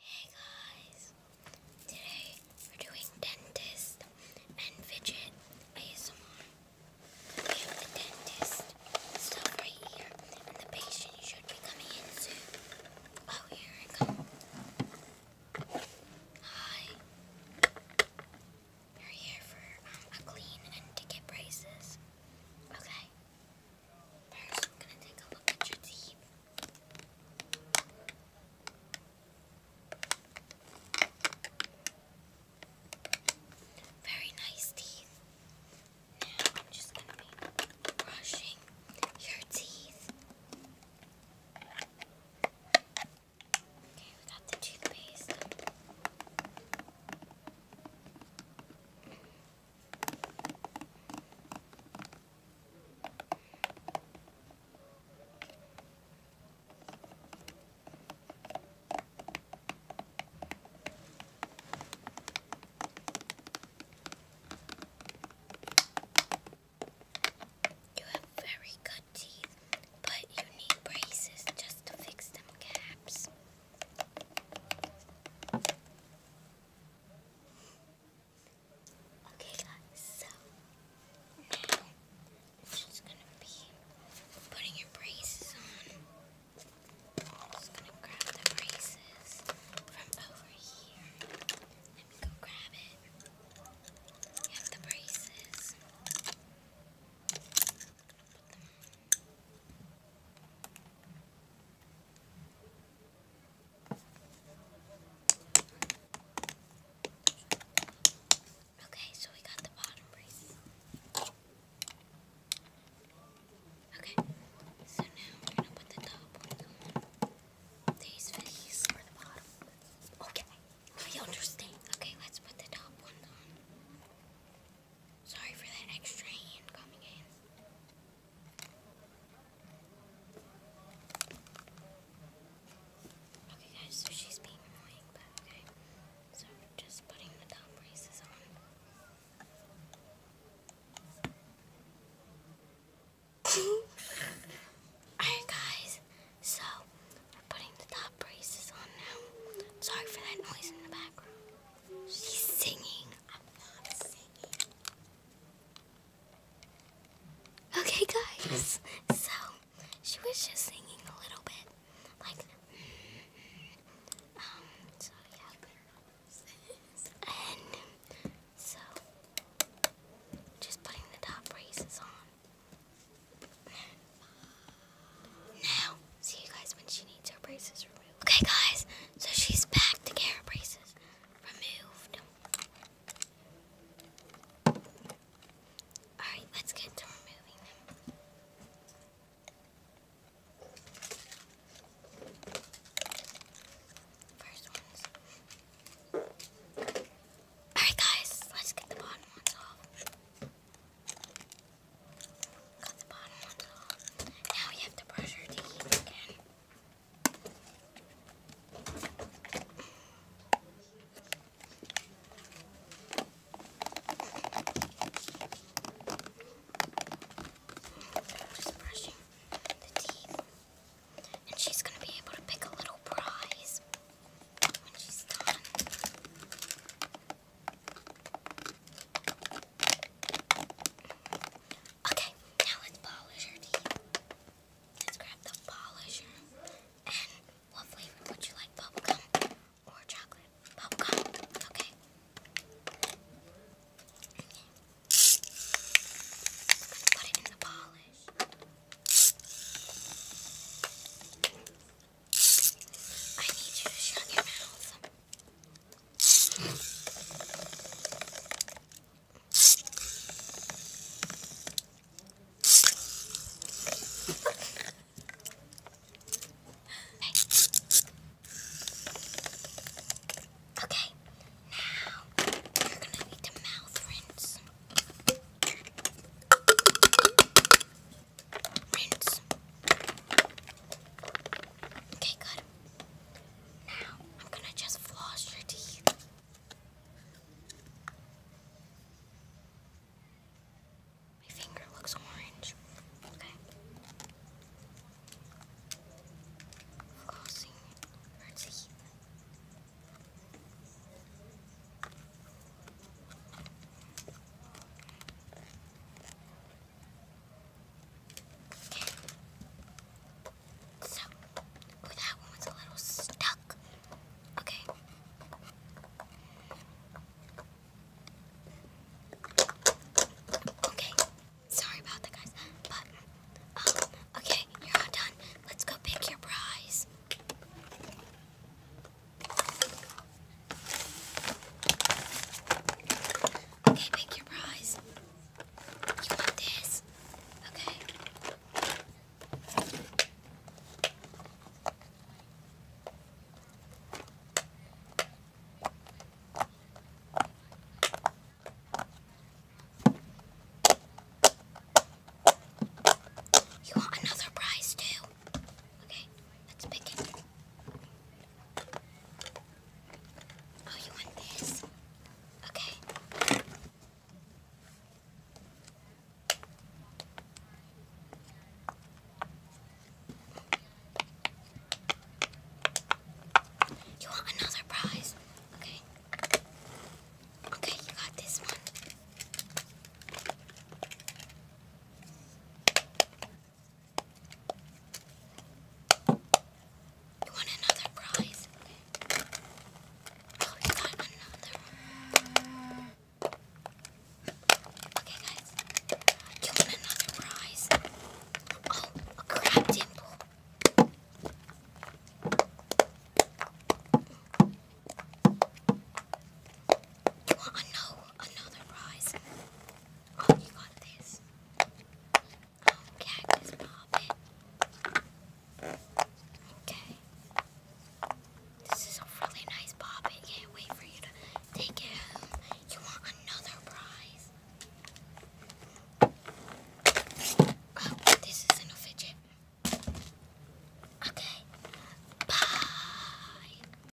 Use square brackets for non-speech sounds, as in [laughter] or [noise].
Hey guys, today we're doing dentist and fidget We have the dentist stuff right here, and the patient should be coming in soon. Oh, here I come. Hi. We're here for um, a clean and to get braces. Okay, i I'm going to take a look at your teeth. Very nice teeth. Now I'm just going to be brushing your teeth. Okay, we got the toothpaste. You have very good teeth, but you need braces just to fix them gaps. Okay guys, so now it's just gonna be putting your braces on. just gonna grab the braces from over here. Let me go grab it. You the braces. put them on. Okay, so we got the bottom brace. Okay, so now we're gonna put the top one These these the bottom. Okay, I understand. Okay, let's put the top one on. Sorry for that extra hand coming in. [laughs] Alright guys, so we're putting the top braces on now. Sorry for that noise in the background. She's singing. Okay, guys. So she was just singing a little bit, like. Um. So yeah. And so just putting the top braces on. Now, see you guys when she. Okay, guys, so she's back to get her braces removed. Alright, let's get to removing them. Alright, guys, let's get the bottom ones off got the bottom one off. Now we have to brush her teeth again. just brushing the teeth. And she's going to be able to pick a little prize when she's done. Okay, now let's polish your teeth. Let's grab the polisher. And what flavor would you like? Bubblegum or chocolate? Bubblegum. Okay. okay. put it in the polish. I need you to shut your mouth. Okay, now we're gonna need the mouth rinse. Rinse. Okay, good. Now, I'm gonna just floss your teeth. My finger looks orange. Okay. Flossing your teeth. So, ooh, that one was a little stuck. Okay. Okay. Sorry about that, guys. But, um, okay, you're all done. Let's go pick your prize. Okay, pick your prize. You want this? Okay. You want another prize too? Okay, let's pick Oh, you want this? Okay. You want another prize? Okay. Okay, you got this one. You won another prize. Oh, you got another. Okay, guys. You won another prize. Oh, a crab dimple. You want a another prize. Oh, you got this. Oh, cactus poppin'. Okay. This is a really nice poppin'. Can't wait for you to take it home. You want another prize? Oh, this isn't a fidget. Okay. Bye.